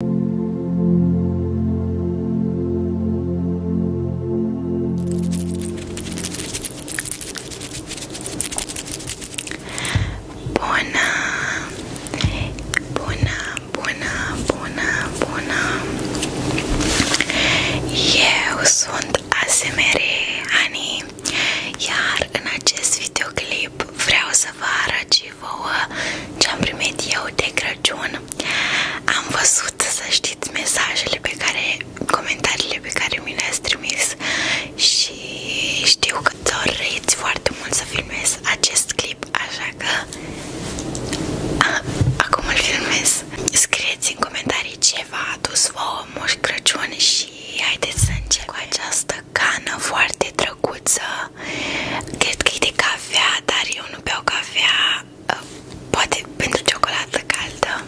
Bună! Bună, bună, bună, bună! Eu sunt ASMR Ani, iar în acest videoclip vreau să vă arăt și vouă am primit eu de Crăciun. Am văzut, să știți, mesajele pe care, comentariile pe care mi le-ați trimis și știu că doriți foarte mult să filmez acest clip, așa că acum îl filmez. Scrieți în comentarii ce v Moș Crăciun și haideți să încep cu această foarte drăguță drăguță Cred că e de cafea, dar eu nu beau cafea uh, Poate pentru ciocolată caldă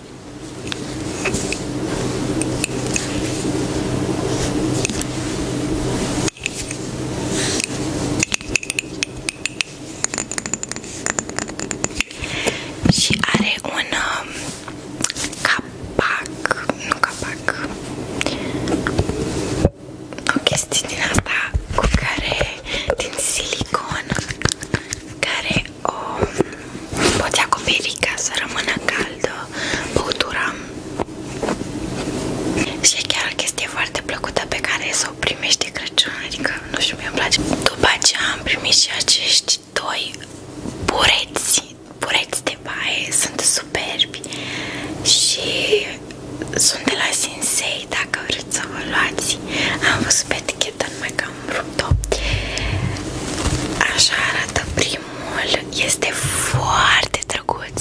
și are un um, capac, nu capac, o chestie din asta cu care, din silicon, care o poți acoperi ca să rămână caldă băutura. Și e chiar o chestie foarte plăcută pe care să o primești de Crăciun, adică nu știu, mie îmi place. După aceea am primit și acești doi bureți, bureți de baie, sunt superbi și sunt de la Sensei, dacă vreți să vă luați. Am văzut pe eticheta, numai că am rupt-o. Așa arată primul, este foarte drăguț.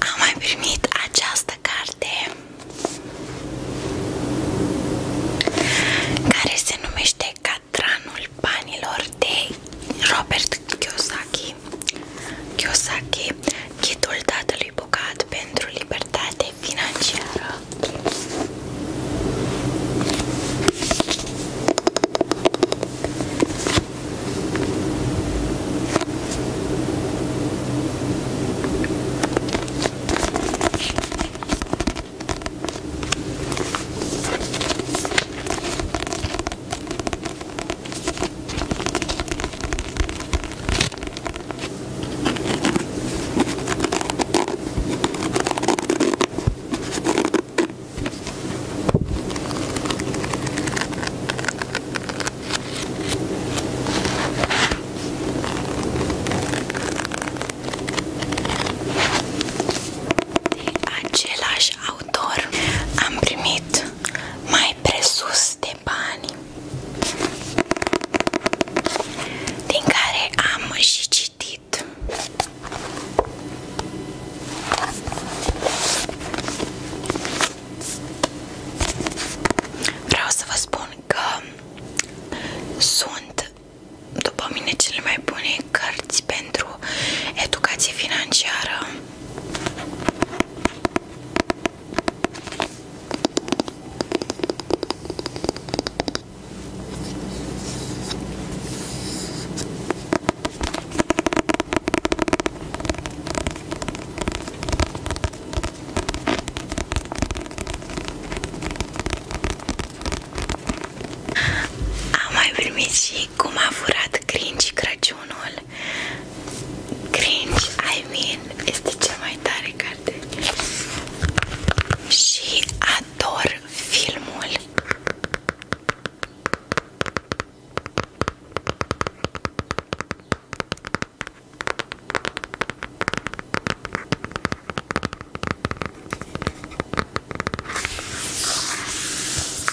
Am mai această carte care se numește Catranul banilor de Robert Kiyosaki Kiyosaki, Ghidul Tatălui Bogat pentru Libertate Financiară. De același autor am primit mai presus de de bani din care am și citit Vreau să vă spun că sunt după mine cele mai bune cărți pentru educație financiară am mai primit și cum a furat cringe Crăciunul Cringe, I mean, este cea mai tare carte Și ador filmul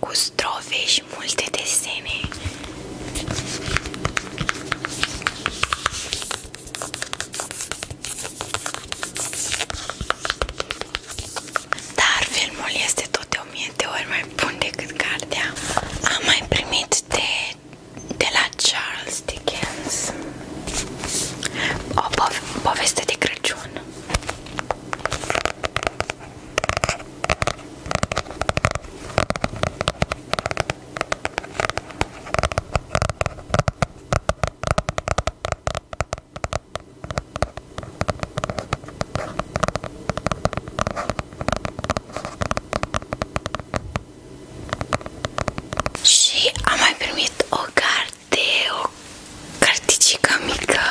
cu strofe și multe desene. Dar filmul este tot de o mie de ori mai bun decât cartea. Am mai primit de, de la Charles Dickens o pov poveste de Crăciun. Și am mai primit o carte, o carticică mică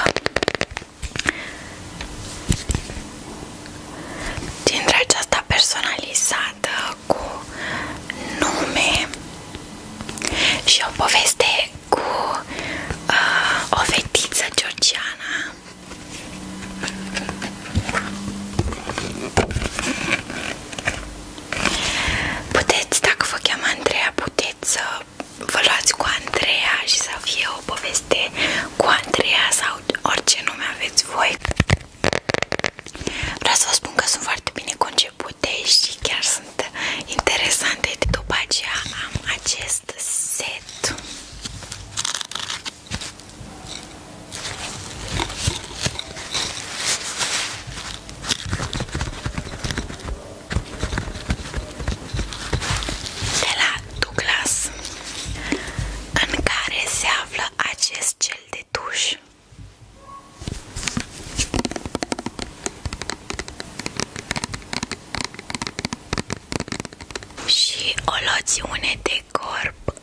Dintre aceasta personalizată cu nume și o poveste cu uh, o fetiță georgiana Puteți, dacă vă cheamă Andreea, puteți vă luați cu Andreea și să fie o poveste cu Andreea sau orice nume aveți voi. Vreau să vă spun că sunt foarte bine concepute și chiar sunt interesante. După aceea am acest set de la Douglas în care se află acest gel de tuș și o loțiune de corp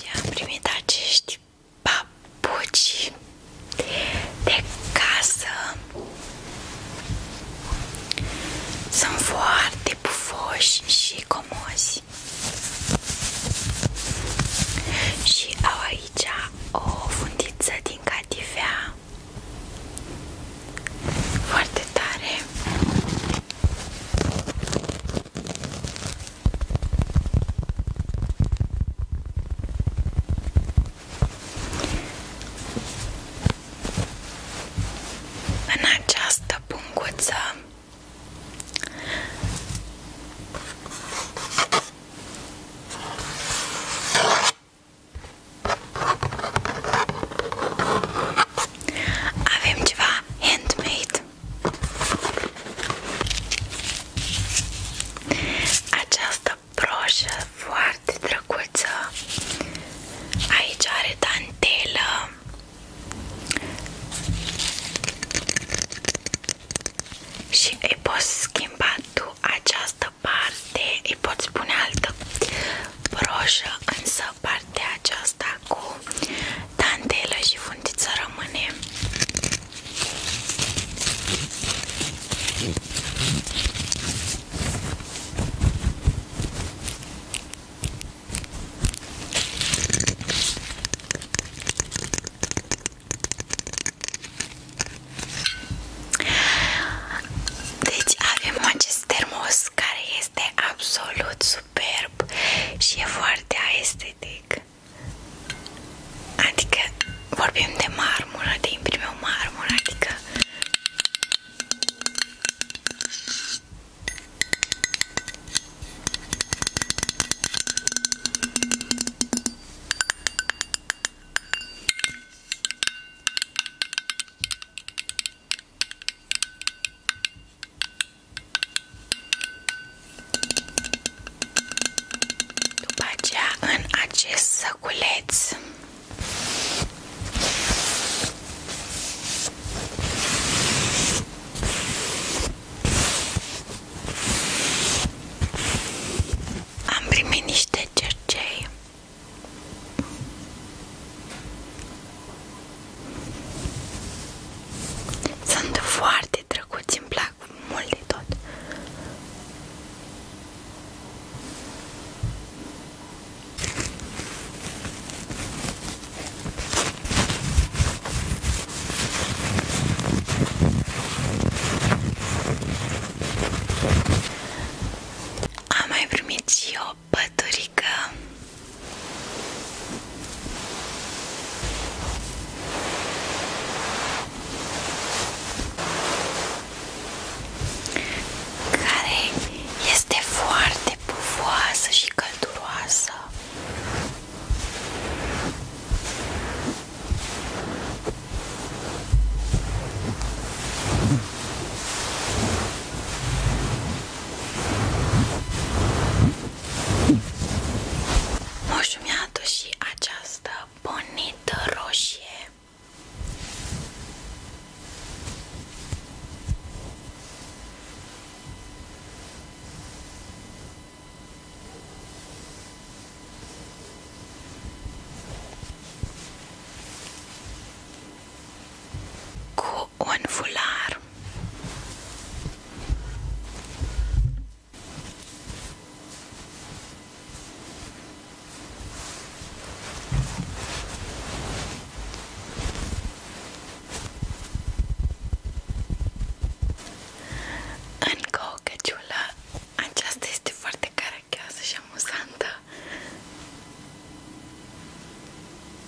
și am primit acești și papuci de casă sunt foarte pufoși și comozi și au aici o fundiță din catifea foarte tare în această punguță avem ceva handmade această broșă foarte drăguță Aici are dantelă Și îi poți schimba tu această parte Îi poți pune altă broșă Însă partea aceasta cu Dantelă și fundița rămâne. Deci avem acest termos care este absolut superb și e foarte estetic. Adică vorbim de marmură, de imprimeu marmură, adică după în acest săculeț am primit niște cercei sunt foarte foarte drăguți, îmi plac mult de tot. Am mai primit și o păturică care este foarte pufoasă și călduroasă. Moșul mi și această bonită roșie. Cu un fular Super. Încă o căciulă. Aceasta este foarte caracioasă și amuzantă.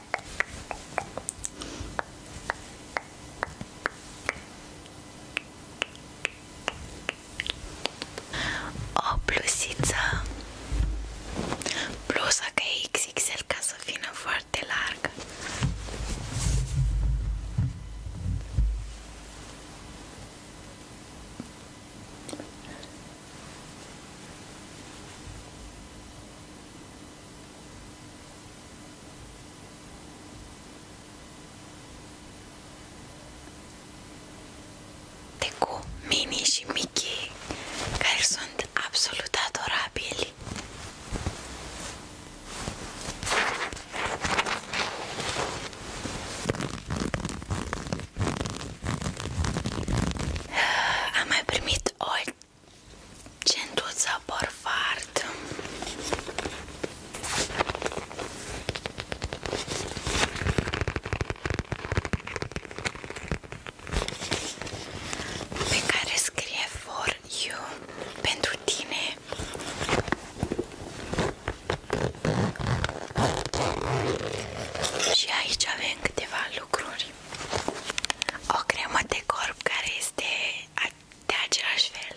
O blusiță blusa ca XXL ca să vină foarte largă de cu Mini și Mickey care sunt absolut adorabili ah, am mai primit o Centuță Borfard pe care scrie For You pentru tine și aici avem câteva lucruri o cremă de corp care este de același fel.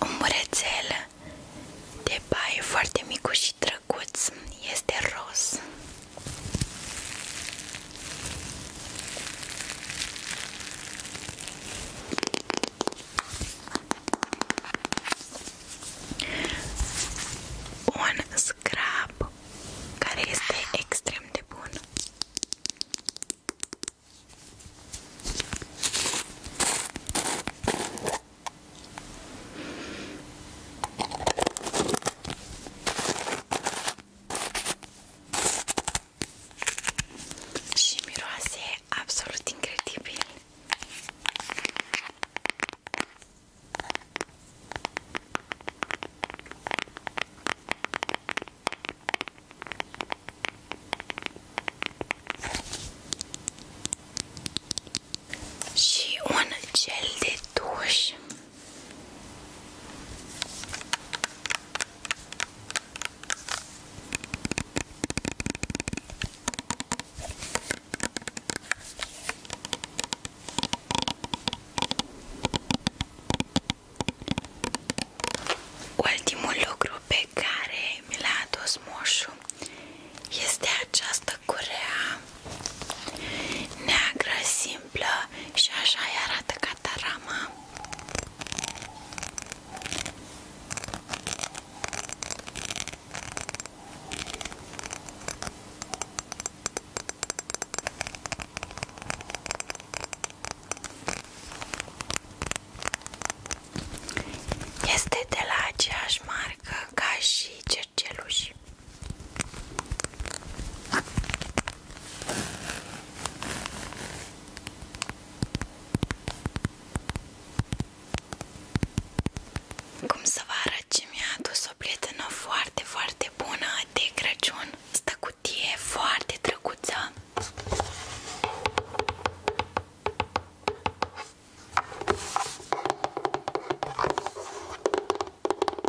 Un burețel de baie foarte micuș și drăguț este roz un scrap care este extrem de bun. Și miroase absolut incredibil. Și un gel de duș Ultimul lucru pe care mi l-a adus moșul este această curea neagră și așa arată catarama. Este de la aceeași marcă ca și cerceluși. Cum să vă arăt ce mi-a adus o prietenă foarte, foarte bună de Crăciun Asta cutie foarte drăguță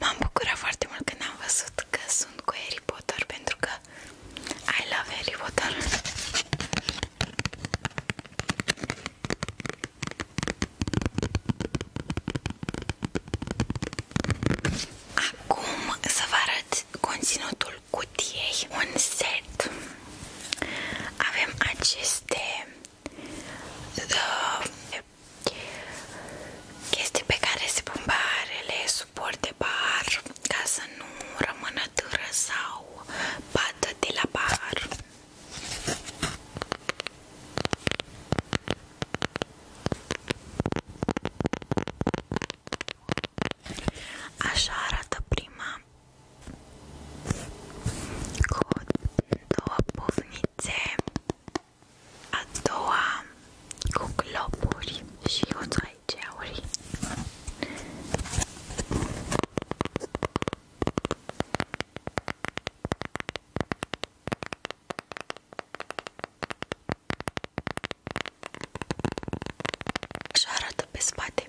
M-am bucurat foarte mult când am văzut că sunt cu Harry Potter pentru că I love Harry Potter. Acum să vă arăt conținutul cutiei, un set. Avem aceste chestii pe care se pun barele, suport de bar ca să nu rămână târă sau pată de la bar Așa arată prima cu două pufnițe, a doua cu globuri și o aici Așa arată pe spate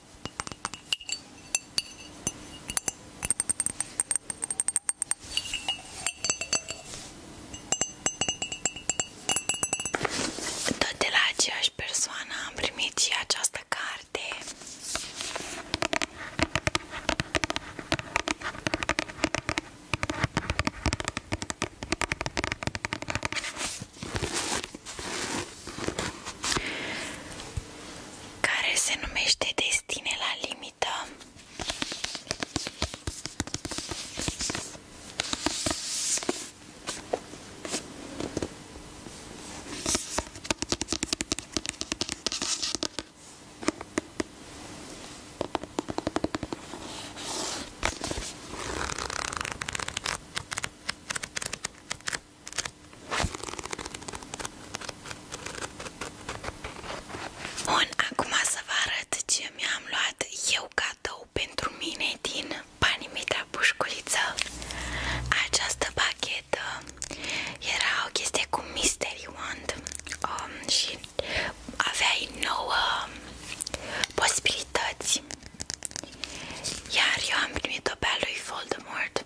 Tot de la aceeași persoană am primit și această carte care se numește Destine la limită. Bun, acum să vă arăt ce mi-am luat eu cadou pentru mine din banii mei de pușculiță. Această pachetă era o chestie cu mystery wand um, și aveai nouă um, posibilități facilități Iar eu am primit-o pe a lui Voldemort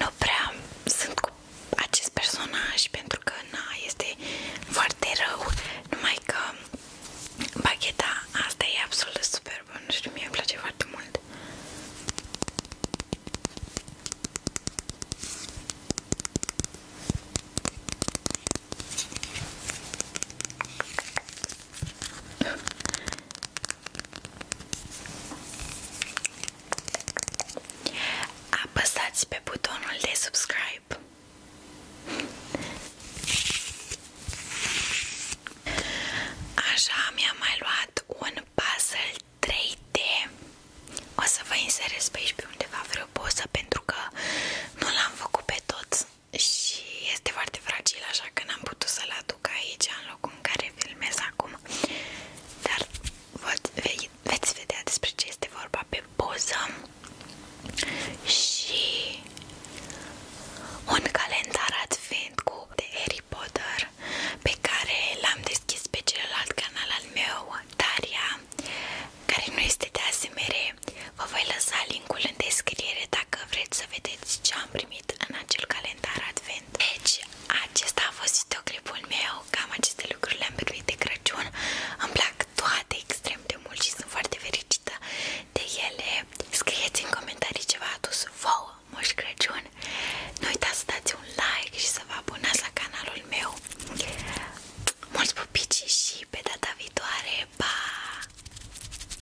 Nu prea sunt cu acest personaj pentru că na, este foarte rău Numai că bagheta asta e absolut superbă Nu știu, mie îmi place foarte mult Apăsați pe butonul de subscribe. Așa mi-am mai luat un puzzle 3D. O să vă inserez pe aici pe undeva vreo poză pentru că nu l-am făcut pe tot și este foarte fragil, așa că n-am putut să-l aduc aici în locul în care filmez acum. Dar veți, vedea despre ce este vorba pe poză și un calendar advent cu de Harry Potter pe care l-am deschis pe celălalt canal meu, Daria, care nu este de voi lăsa linkul în descriere dacă vreți să vedeți ce am primit în acel calendar advent. Deci, acesta a fost videoclipul meu, cam aceste lucruri le-am pregătit de Crăciun. Îmi plac toate extrem de mult și sunt foarte fericită de ele. Scrieți în comentarii ce v-a adus vouă Moș Crăciun. Nu uitați să dați un like și să vă abonați la canalul meu. Mulți pupici și pe data viitoare, pa!